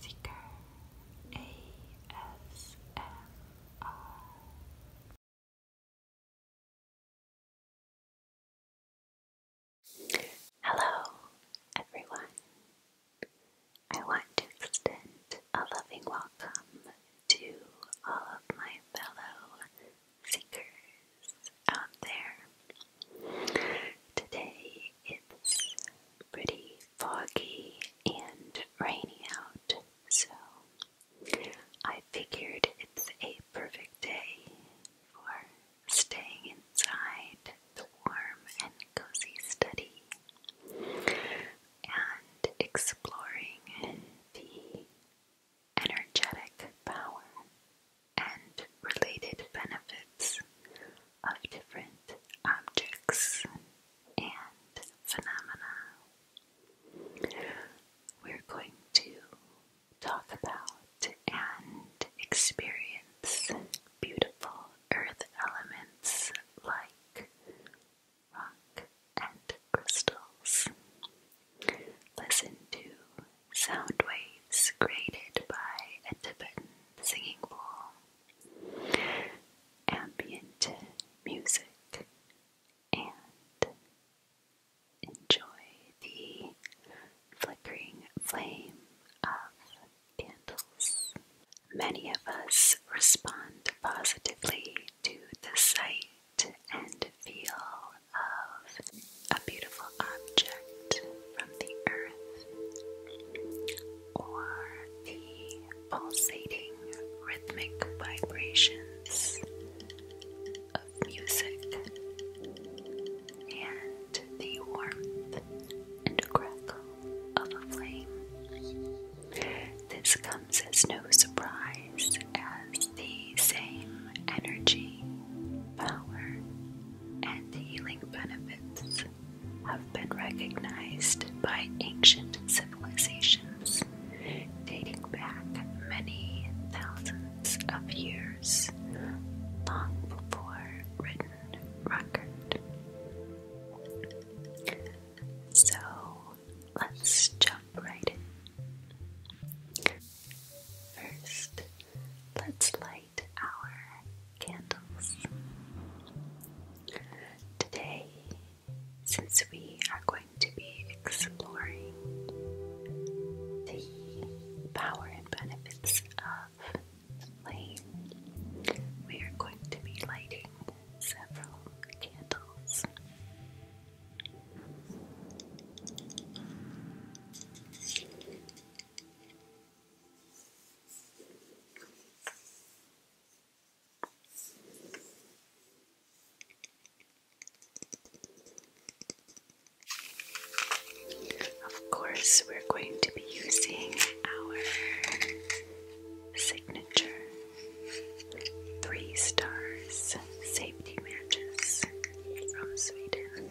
Seeker ASMR. Hello, everyone. I want to extend a loving welcome to all of my fellow seekers out there. Today it's pretty foggy and rainy out, so I figured it's a perfect day for staying inside the warm and cozy study and exploring the energetic power and related benefits of different objects and phenomena. We're going to talk about and experience beautiful earth elements like rock and crystals. Listen to sound waves created by a Tibetan singing bowl ambient music and enjoy the flickering flame of candles. Many of us respond positively to the sight and feel of a beautiful object from the earth or the pulsating rhythmic vibrations of music and the warmth and crackle of a flame. This comes as no surprise as the same energy, power, and healing benefits have been recognized by ancient civilizations dating back many thousands of years, long before written record. So let's jump right in. First, let's light our candles. Today, since we are going to be exploring the power and benefits of flame, we are going to be lighting several candles. Of course, we're going to be using our signature three stars safety matches from Sweden.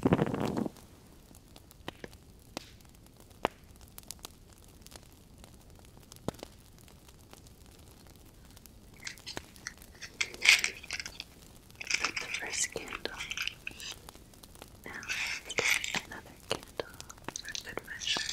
Put the first candle. Now I've got another candle for good measure.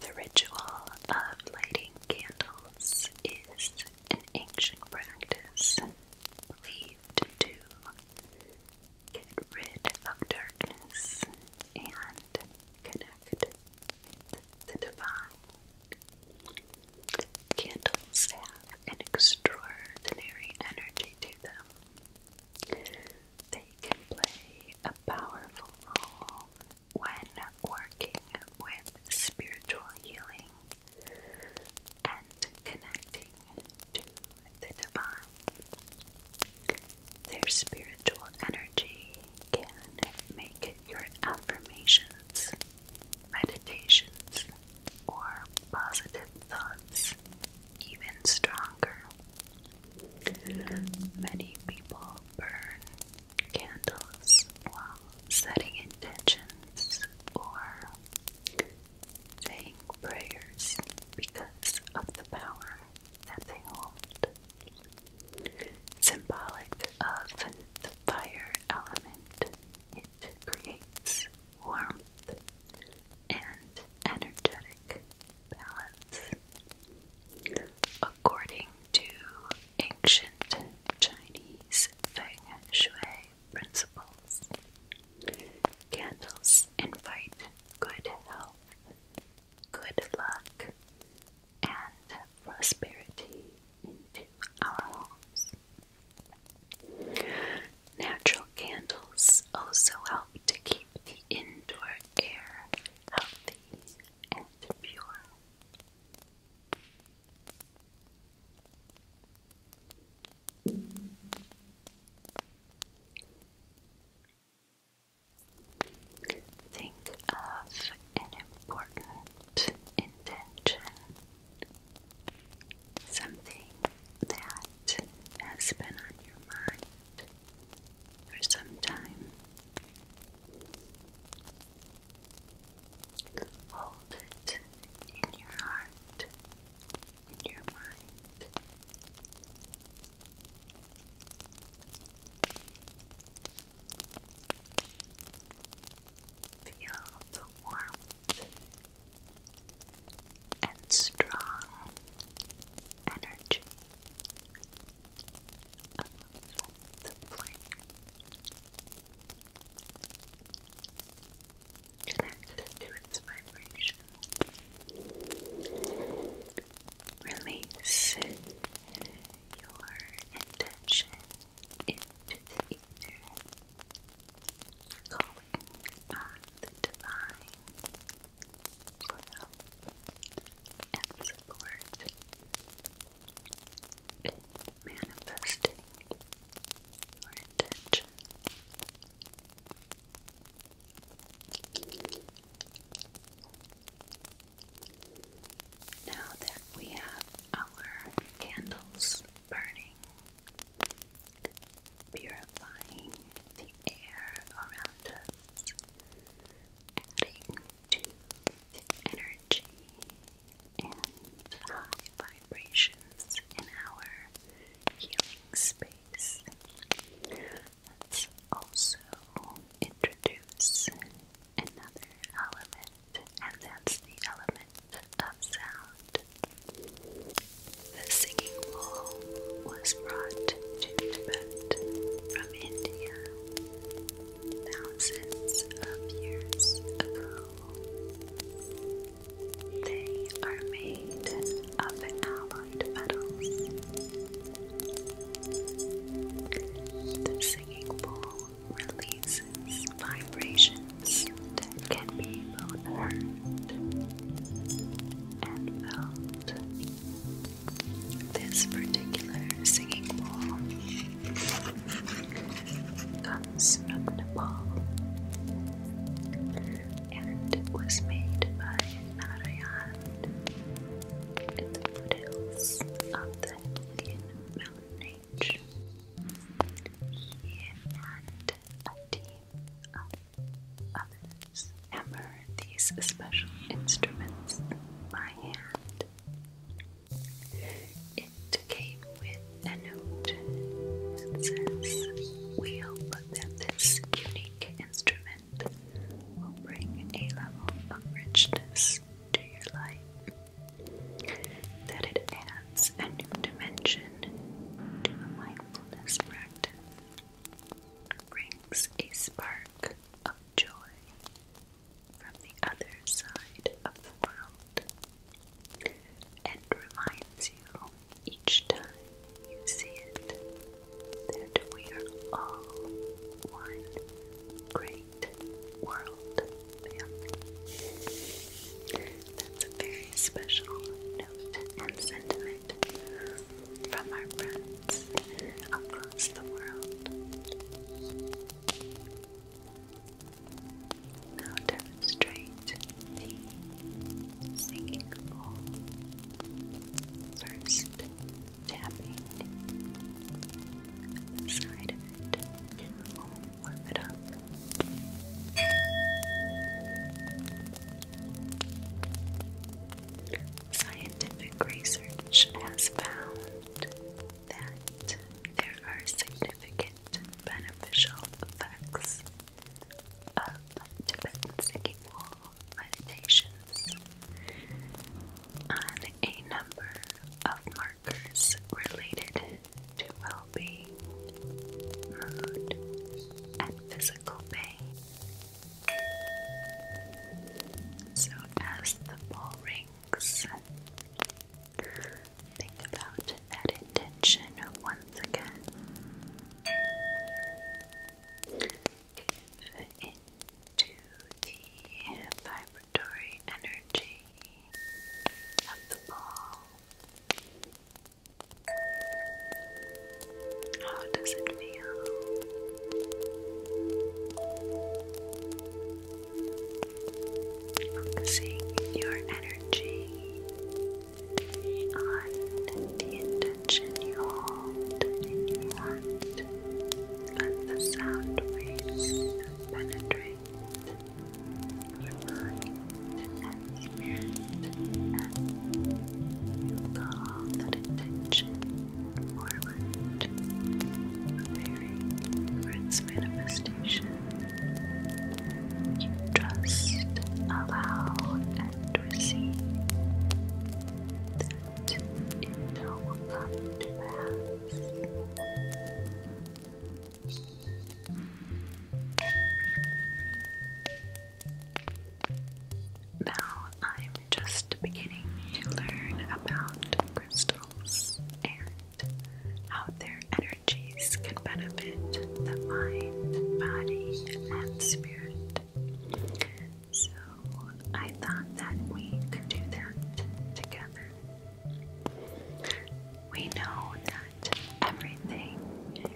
The ritual of lighting candles is an ancient practice believed to get rid of darkness and connect with the divine. Candles have an extraordinary energy to them. They can play a powerful role when working with spiritual healing and connecting to the divine. Their spiritual energy can make your affirmations, meditations, or positive thoughts even stronger. Many people burn candles while setting intentions or saying prayers because of the power that they hold. Symbolic of the fire element, it creates warmth and energetic balance. According to ancient Chinese feng shui principles, Candles invite good health, good luck, and prosperity into our homes. Natural candles also help to keep the indoor air healthy and pure. Think of an important intention, something that has been on your mind for some time. Hold it in your heart in your mind. Feel the warmth and strong energy of the flame connected to its vibration. Release your intention into the ether, calling on the divine for help and support in manifesting your intention. Now that we have our candles burning, purifying the air around us, adding to the energy and high vibrations in our healing space face. Let's introduce another element, and that's the element of sound. The singing bowl was brought to Tibet from India thousands of years ago. They are made of an alum the singing bowl releases vibrations that can be both heard and felt. This particular singing bowl comes from Nepal and it was made by Narayan in the foothills of the Indian range. He and a team of others hammer these special instruments by hand. It came with a note that says, that this unique instrument moment will bring a level of richness to your life that it adds a new dimension to a mindfulness practice, brings a spark of joy from the other side of the world, and reminds you each time you see it, that we are all one great world family. That's a very special note and sentiment from our friends across the world. Now demonstrate the sinking ball first tapping the side of it and warm it up Scientific research has found that there are significant beneficial effects of Tibetan singing wall meditations on a number of markers related to well being, mood, and physical pain. So, as the bell rings, think about that intention once again give into the vibratory energy of the ball. How does it feel? Focusing your energy on the intensity tension you hold in your heart. Let the sound waves penetrate your mind and spirit, and you call that attention forward, preparing for its manifestation. You trust, allow, and now I'm just beginning to learn about crystals and how their energies can benefit the mind, body, and spirit. So I thought that we could do that together. We know that everything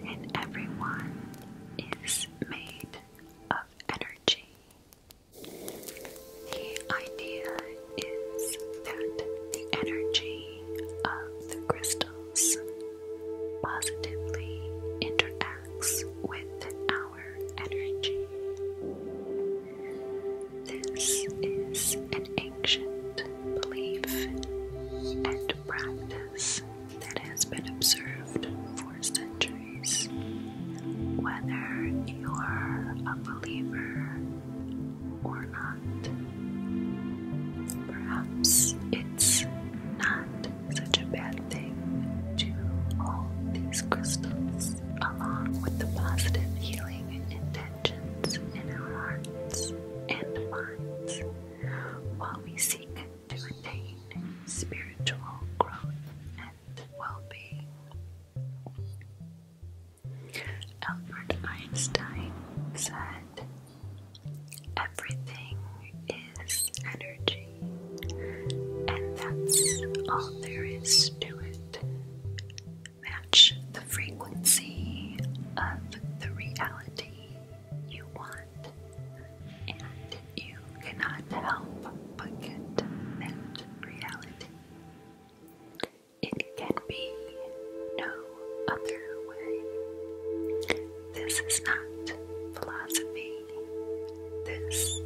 and everyone is made of energy. The idea is that the energy of the crystals positively interacts with our energy. This is an ancient belief and practice that has been observed for centuries. Whether you are a believer or not, perhaps it's not such a bad thing to all these crystals, along with the positive healing intentions in our hearts and minds, while we seek to attain spiritual growth and well being. Albert Einstein said, Everything is energy, and that's all there is to it. Match the frequency of the reality you want, and you cannot help but get that reality. It can be no other way. This is not philosophy. This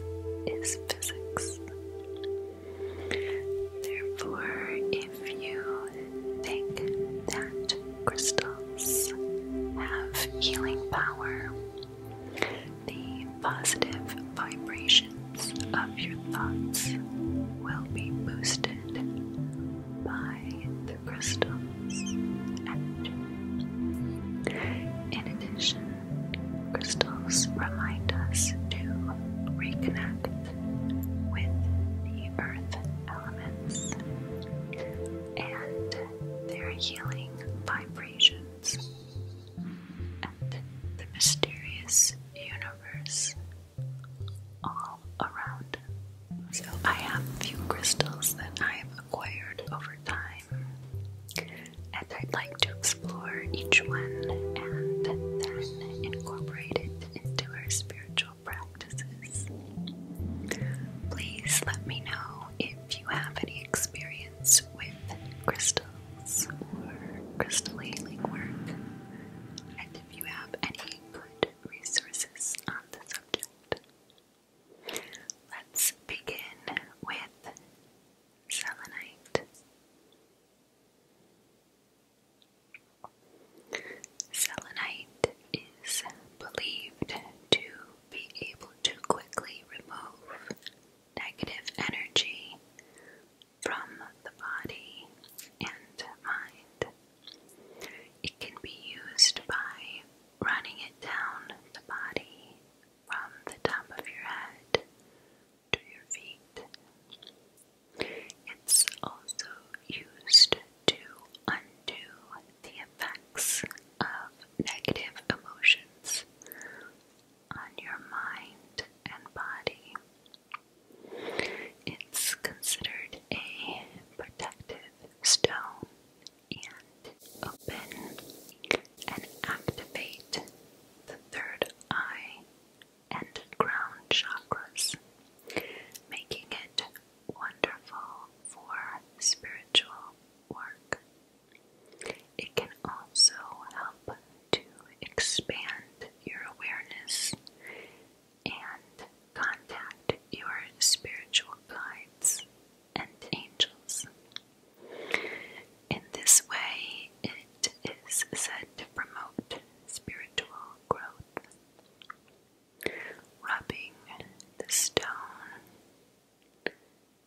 is physics. Therefore, if you think that crystals have healing power, the positive vibrations of your thoughts will be boosted by the crystals' In addition, Crystals remind us to reconnect with the earth elements and their healing vibrations and the mysterious universe all around. So I have a few crystals that I have acquired over time. And I'd like to explore each one and then incorporate it into our spiritual practices. Please let me know if you have any experience with crystals or crystal healing work, and if you have any good resources on the subject. Let's begin with selenite. Selenite is believed to be able to quickly remove negative energy from the body and mind. It can be used by running it down the body from the top of your head to your feet. It's also used to undo the effects of negative emotions on your mind and body. It's considered a protective stone and open and activate the third eye and crown chakras, making it wonderful for spiritual work. It can also help to expand your awareness and contact your spiritual guides and angels. In this way, it is said to promote spiritual growth. Rubbing the stone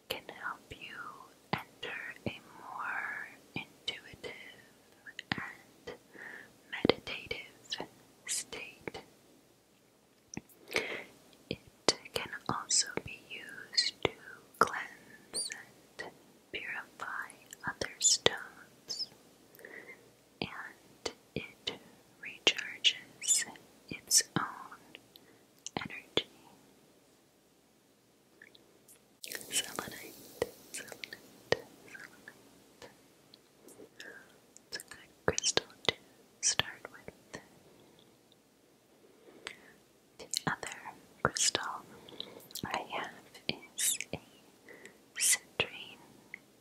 can help you enter a more intuitive and meditative state. It can also be used to cleanse and purify other stones, and it recharges its own energy. Selenite, selenite, selenite. It's a good crystal to start with. The other crystal I have is a citrine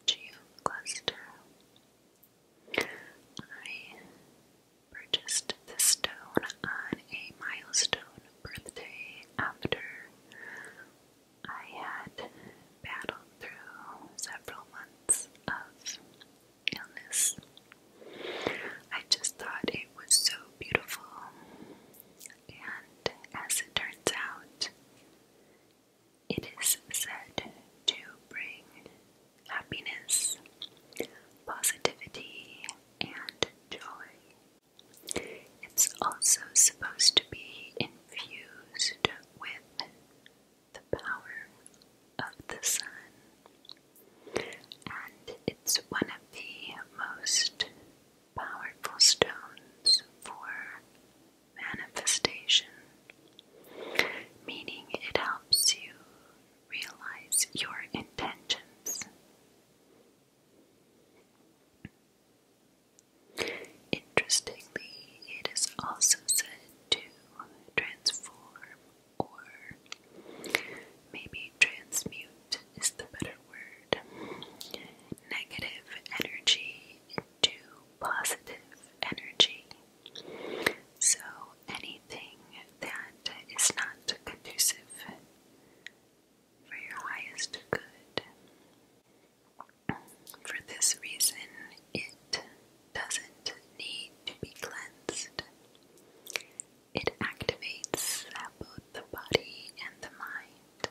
geocluster. I purchased this stone on a milestone birthday after I had battled through several months of illness. I just thought it was so beautiful, and as it turns out, it is said to bring happiness, positivity, and joy. It's also supposed to be infused with the power of the sun, and it's one of the most powerful stones for manifestation, meaning it helps you realize your intentions. Interestingly, it is also said to transform or maybe transmute is the better word, negative energy into positive energy. So anything that is not conducive for your highest good. For this reason, it doesn't need to be cleansed. It activates both the body and the mind.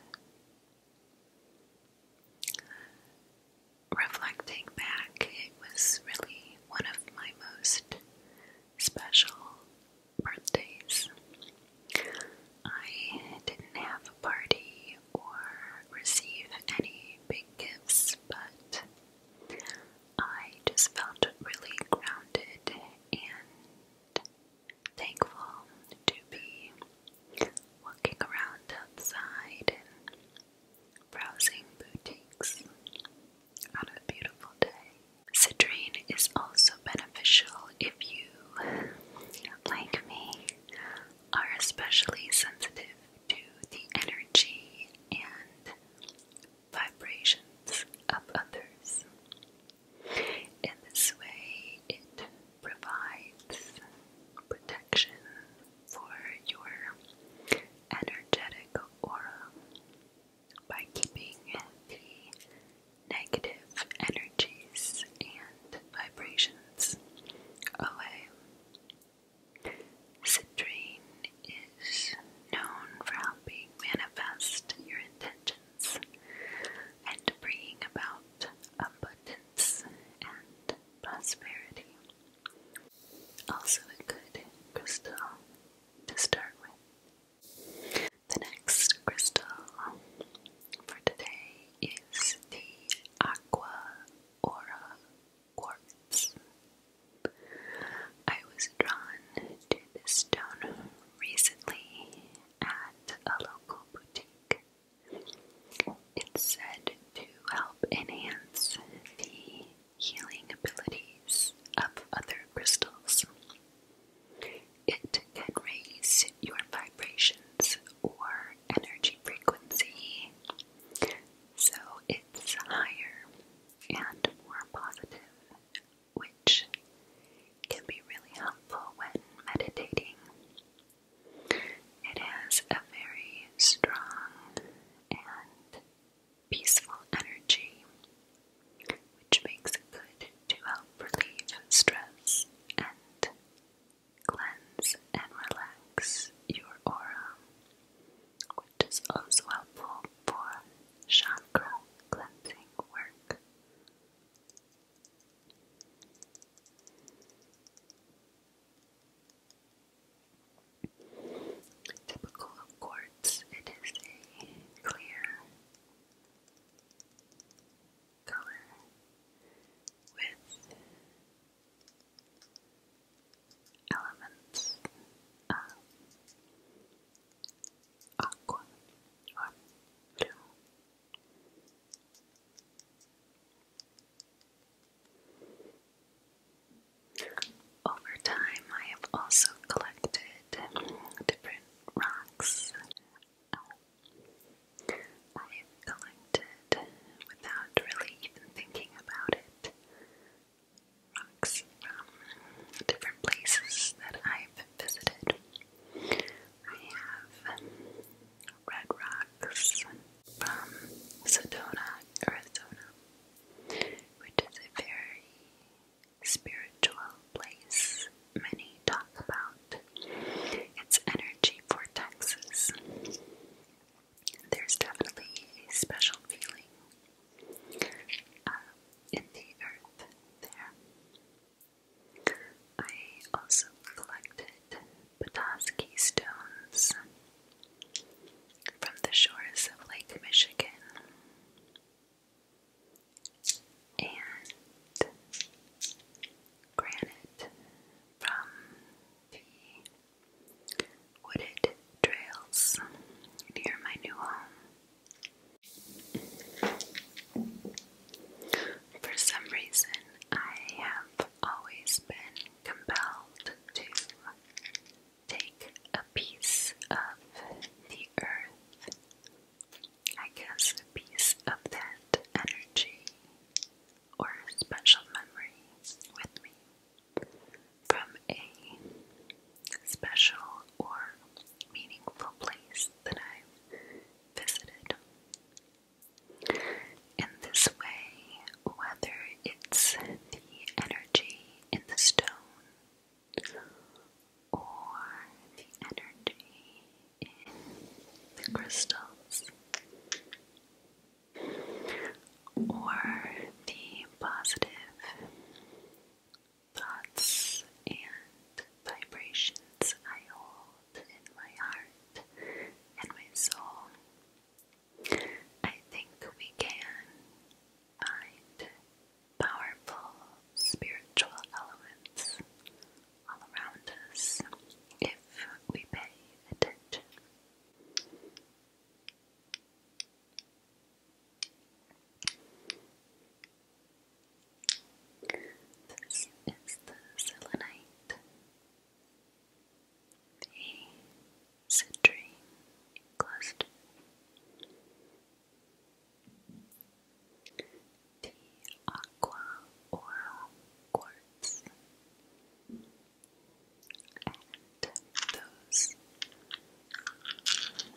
Reflecting back, it was really one of my most special birthdays. I didn't have a party or receive any big gifts, but I just felt really grounded and thankful to be walking around outside and browsing boutiques on a beautiful day. Citrine is also beneficial if you, like me, are especially sensitive to the energy and vibrations of others. In this way, it provides protection for your energetic aura by keeping the negative energies and vibrations away. Citrine known for helping manifest your intentions and bringing about abundance and prosperity. Also, a good crystal to start with. The next crystal for today is the Aqua Aura Quartz. I was drawn to this stone recently at a local boutique. It's said to help enhance the healing abilities of other crystals. It can raise your vibrations or energy frequency so it's higher and more positive which can be really helpful when meditating. It has a very strong and peaceful energy, which makes it good to help relieve stress and cleanse and relax your aura, which is also helpful for chakra cleansing work. Typical of quartz, it is a clear color with elements of Aqua or Over time, I have also collected different rocks. I've collected without really even thinking about it rocks from different places that I've visited. I have um, red rocks from um, Sedona, Arizona, which is a very spiritual place. Many talk about its energy vortexes. There's definitely a special feeling um, in the earth there. I also collected Petoskey stones from the shores of Lake Michigan. And granite from the wooded trails near my new home. For some reason, I have always been compelled to take a piece of the earth. I guess a piece of that energy or special memory with me from a special or meaningful place that I've visited. In this way, whether it's the energy in the stone or the energy in the crystals or the positive thoughts and vibrations I hold in my heart and my soul. I think we can find powerful spiritual elements all around us if we pay attention. This is the selenite, the citrine the aqua oral quartz, and those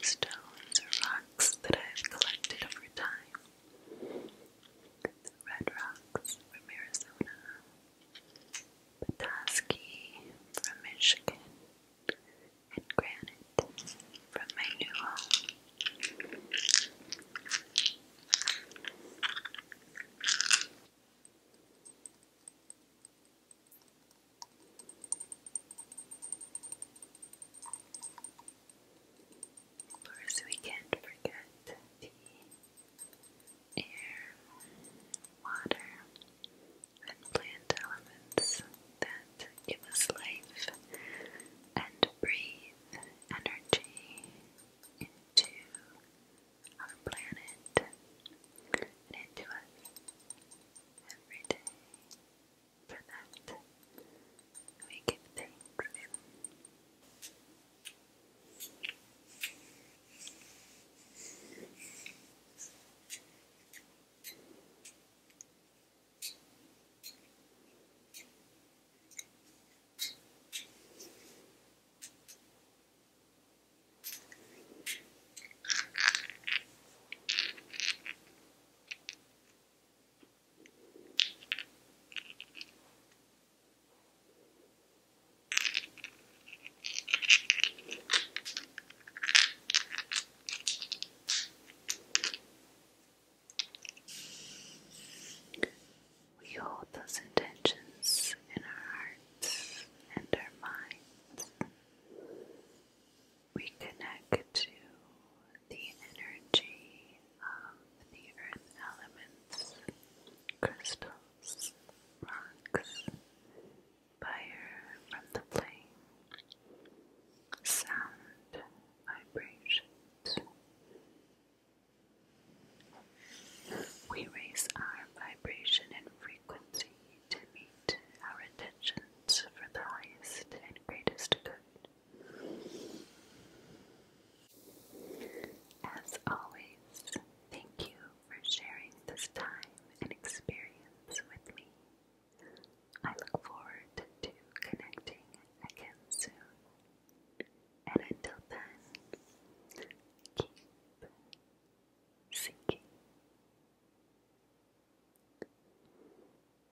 stones or rocks that I have collected over time. red rocks from Arizona, Petoskey from Michigan, and granite from my new home. Of course, we can't forget the air, water, and plant elements that give us life and breathe energy into our planet and into us every day. For that, we give thanks. We hold those intentions in our hearts and our minds we connect to the energy of the earth elements, crystals, rocks, fire from the flame, sound, vibrations. We raise our vibration and frequency to meet our intentions for the highest and greatest good. As always, thank you for sharing this time and experience with me. I look forward to connecting again soon. And until then, keep seeking.